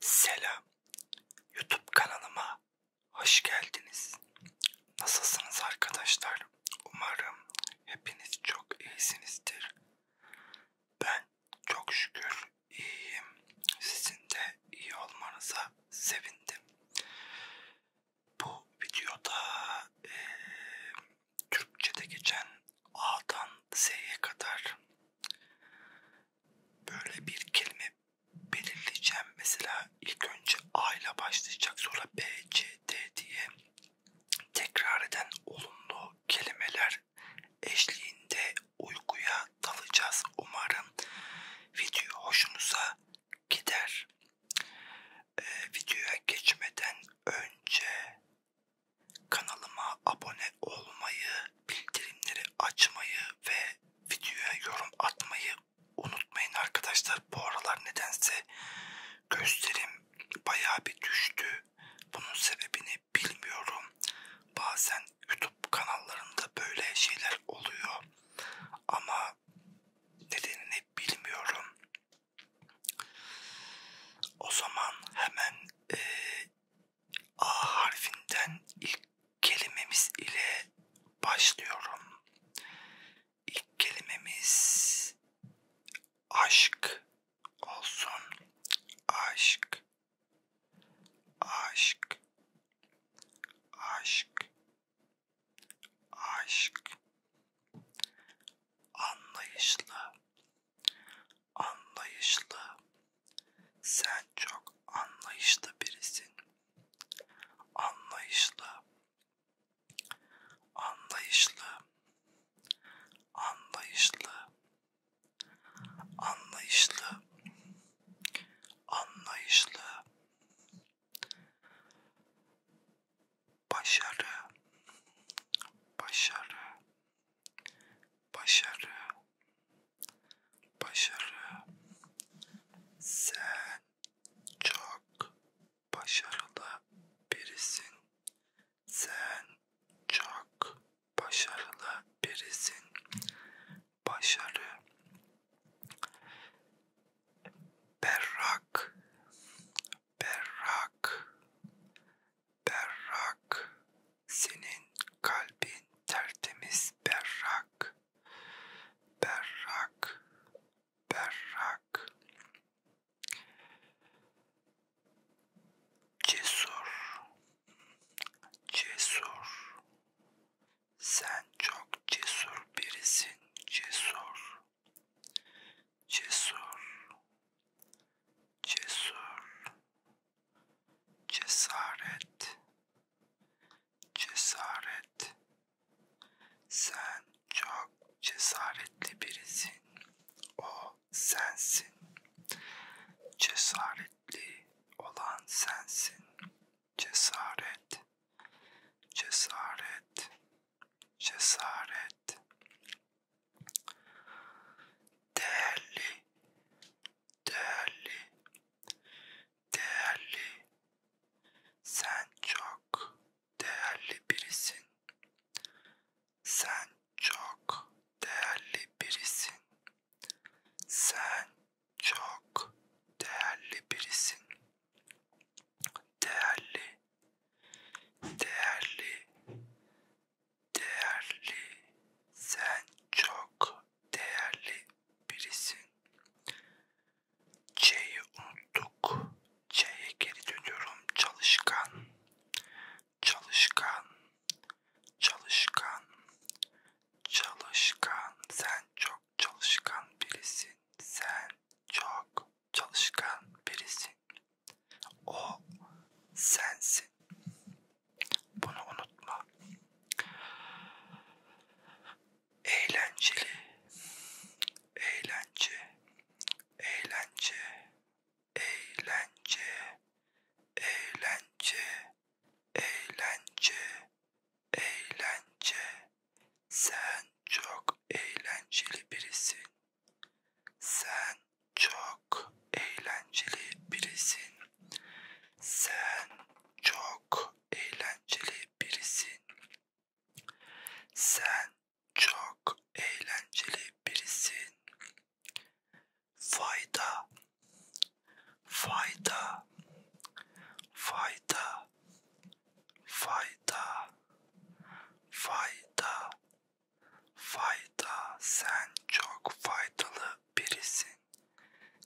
Selam, YouTube kanalıma hoş geldiniz. Nasılsınız arkadaşlar? Umarım hepiniz çok iyisinizdir. Ben çok şükür iyiyim. Sizin de iyi olmanıza sevindim. Bu videoda e, Türkçe'de geçen A'dan Z'ye kadar böyle bir kelime belirleyeceğim. Mesela ilk önce A ile başlayacak sonra B, C, D diye tekrar eden olumlu kelimeler eşliğinde uykuya dalacağız. Umarım video hoşunuza gider. Ee, videoya geçmeden önce Kanalıma abone olmayı, bildirimleri açmayı ve videoya yorum atmayı unutmayın arkadaşlar. Bu aralar nedense gösterim bayağı bir düştü. Bunun sebebini bilmiyorum. Bazen YouTube kanallarında böyle şeyler oluyor. Ama nedenini bilmiyorum. O zaman hemen e, A harfinden ilk kelimemiz ile başlıyorum. İlk kelimemiz aşk olsun. Aşk. Aşk. Aşk. Aşk. Anlayışlı anlayışlı. Sen çok anlayışlı birisin. Anlayışlı. Anlayışlı. Anlayışlı. Anlayışlı. Anlayışlı. Başarı. Başarı başarı, başarı. Sen çok başarılı birisin. Sen çok başarılı birisin. Başarı. Berrak, berrak, berrak, senin kalbin tertemiz berrak, berrak, berrak. Cesur, cesur. Sen çok cesur birisin, cesur, cesur, cesur cesaret cesaret sen çok cesaretli birisin o sensin cesaretli olan sensin cesaret cesaret cesaret değerli değerli değerli sen çok değerli birisin sen çok değerli birisin sen çok değerli birisin değerli değerli değerli, sen çok değerli birisin. C'yi unuttuk. C'ye geri dönüyorum. Çalışkan, çalışkan, çalışkan, çalışkan. Sen çok çalışkan birisin. Sen çok çalışkan birisin. O sensin. Bunu unutma. Eğlenceli, eğlence, eğlence, eğlence, eğlence, eğlence, eğlence. Sen çok eğlenceli birisin. Sen çok eğlenceli birisin. Sen çok eğlenceli birisin. Sen çok eğlenceli birisin. Fayda, fayda, fayda, fayda, fayda, Fayda, sen çok faydalı birisin.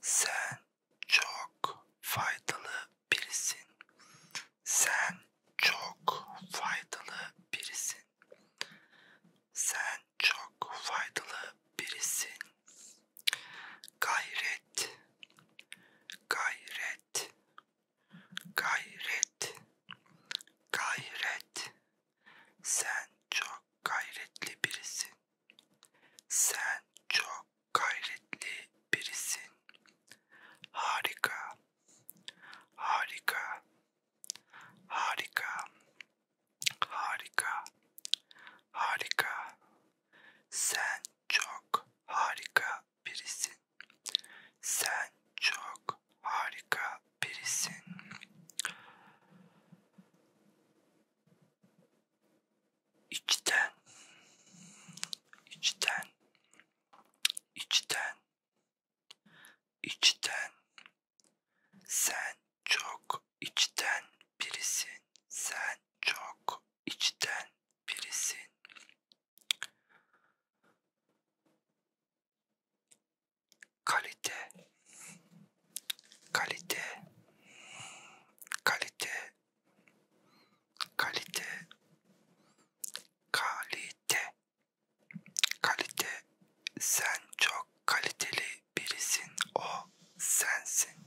Sen çok faydalı birisin. Sen çok faydalı birisin. Sen çok faydalı birisin. Gayret, gayret, Gayret, gayret. Sen çok gayretli birisin. Sen çok gayretli birisin. Harika, harika, harika, harika, harika. Sen çok harika birisin. Sen çok harika birisin. İçten, içten, içten, içten. Sen çok içten birisin. Sen çok içten birisin kalite kalite kalite kalite kalite kalite sen çok kaliteli birisin o sensin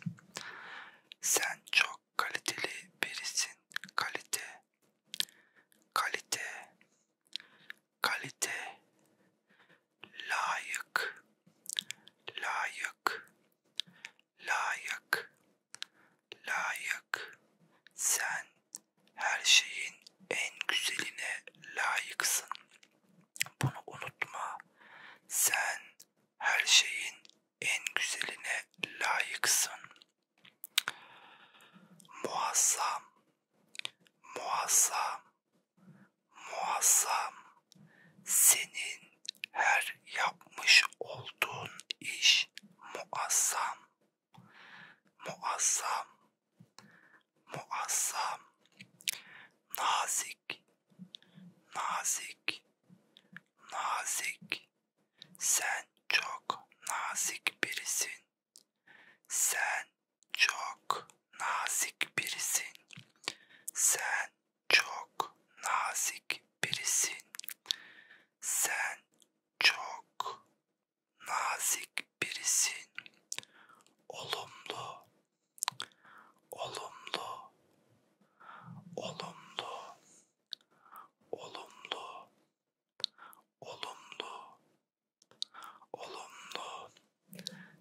sen çok kaliteli birisin kalite kalite kalite, layık, layık, layık, layık. Sen her şeyin en güzeline layıksın. Bunu unutma. Sen her şeyin en güzeline layıksın. Muazzam, muazzam, muazzam. Senin her yapmış olduğun iş muazzam, muazzam, muazzam. Nazik, nazik, nazik. Sen çok nazik birisin. Sen çok nazik birisin. Sen çok nazik birisin. Sen çok nazik birisin. Olumlu. Olumlu. Olumlu. Olumlu olumlu olumlu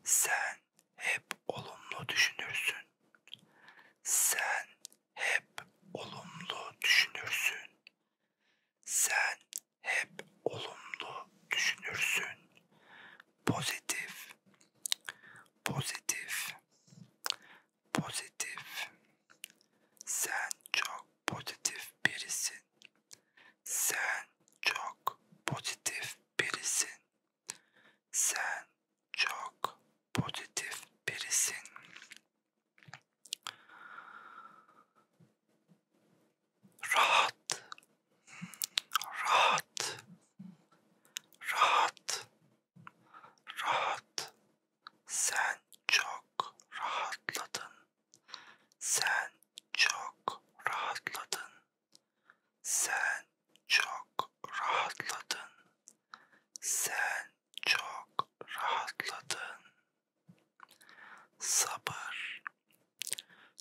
sen hep olumlu düşünürsün sen hep olumlu düşünürsün sen hep olumlu düşünürsün pozitif pozitif pozitif sen çok pozitif birisin. Sen çok pozitif birisin. Sen çok pozitif birisin. Rahat. Rahat. Rahat. Rahat. Sen çok rahatladın. Sen çok rahatladın. Sen çok rahatladın. Sen çok rahatladın. Sabır.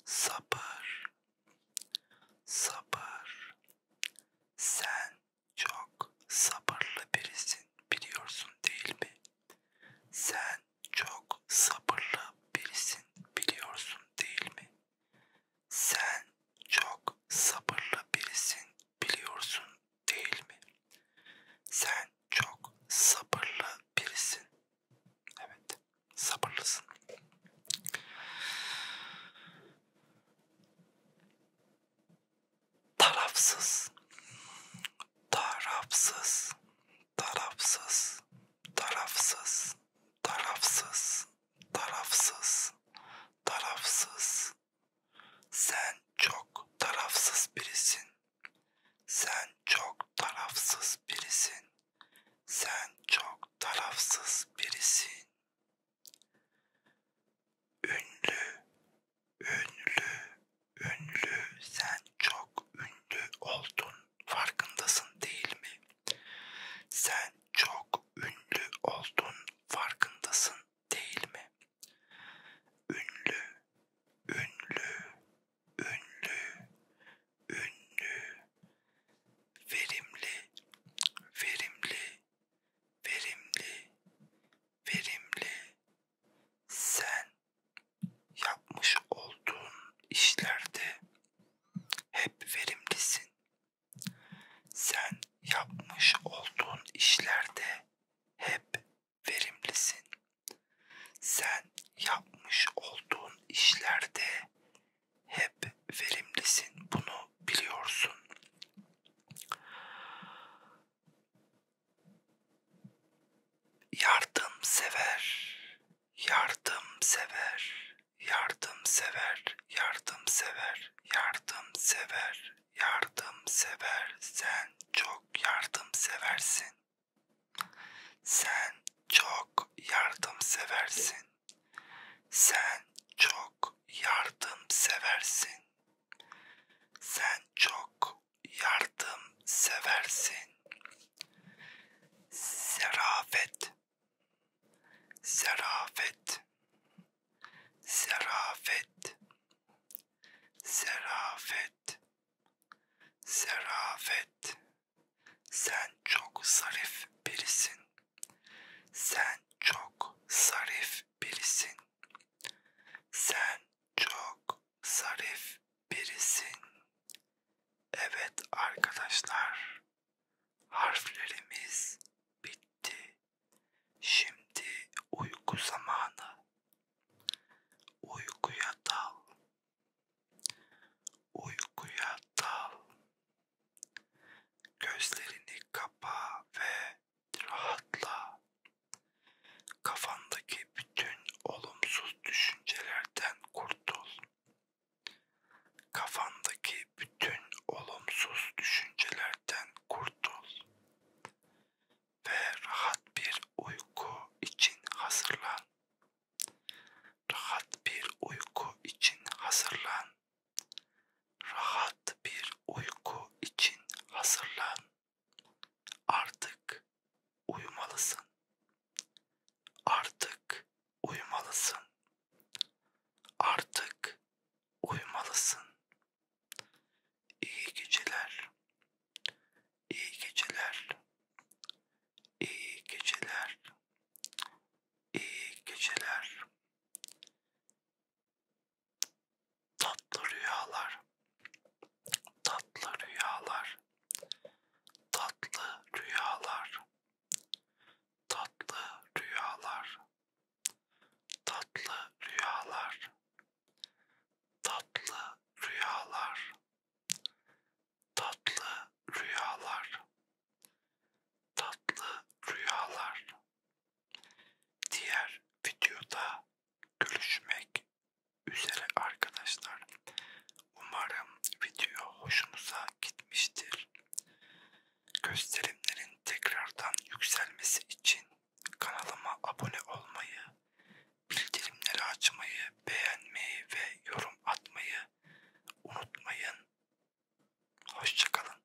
Sabır. Sabır. Sen çok sabırlı birisin biliyorsun değil mi? Sen çok sabırlı birisin biliyorsun değil mi? Sen çok sabırlı birisin biliyorsun değil mi? Sen çok sabırlı birisin. Evet, sabırlısın tarafsız, tarafsız, tarafsız, tarafsız, tarafsız, tarafsız, tarafsız. Sen çok tarafsız birisin. Sen çok tarafsız birisin. Sen çok tarafsız birisin. Ünlü, ünlü, ünlü. Sen çok ünlü oldun. Farkındasın değil mi? Sen çok ünlü oldun. Farkındasın değil mi? Ünlü, ünlü, ünlü, ünlü. Verimli, verimli, verimli, verimli, sen yapmış olduğun işlerde hep verimlisin. Sen yapmış olduğun işlerde hep verimlisin. Sen yapmış olduğun işlerde hep verimlisin. Bunu biliyorsun yardımsever, yardımsever, yardımsever, yardımsever, yardımsever, yardımsever. Sen çok yardımseversin. Sen çok yardımseversin. Sen çok yardımseversin. Sen çok yardım seversin. Zerafet. Zerafet. Zerafet. Zerafet. Zerafet. Sen çok zarif birisin. Sen çok zarif birisin. Sen çok zarif birisin. Evet arkadaşlar, harflerimiz bitti. Şimdi uyku zamanı. Uykuya dal. Uykuya dal. Gözlerini kapa ve Rahatla. Kafandaki bütün olumsuz düşüncelerden kurtul. Kafandaki bütün olumsuz düşüncelerden kurtul. Ve rahat bir uyku için hazırlan. Rahat bir uyku için hazırlan rahat bir uyku için hazırlan. Artık uyumalısın. Artık uyumalısın. Artık uyumalısın. İyi geceler. İyi geceler. İyi geceler. İyi geceler. Tatlı rüyalar. Tatlı rüyalar. Tatlı rüyalar. Tatlı rüyalar. Tatlı rüyalar. Tatlı rüyalar. Tatlı rüyalar. Tatlı rüyalar. Diğer videoda görüşmek üzere arkadaşlar. Umarım video hoşunuza gitmiştir. Gösterimlerin tekrardan yükselmesi için kanalıma abone olmayı, bildirimleri açmayı, beğenmeyi ve yorum atmayı unutmayın. Hoşçakalın.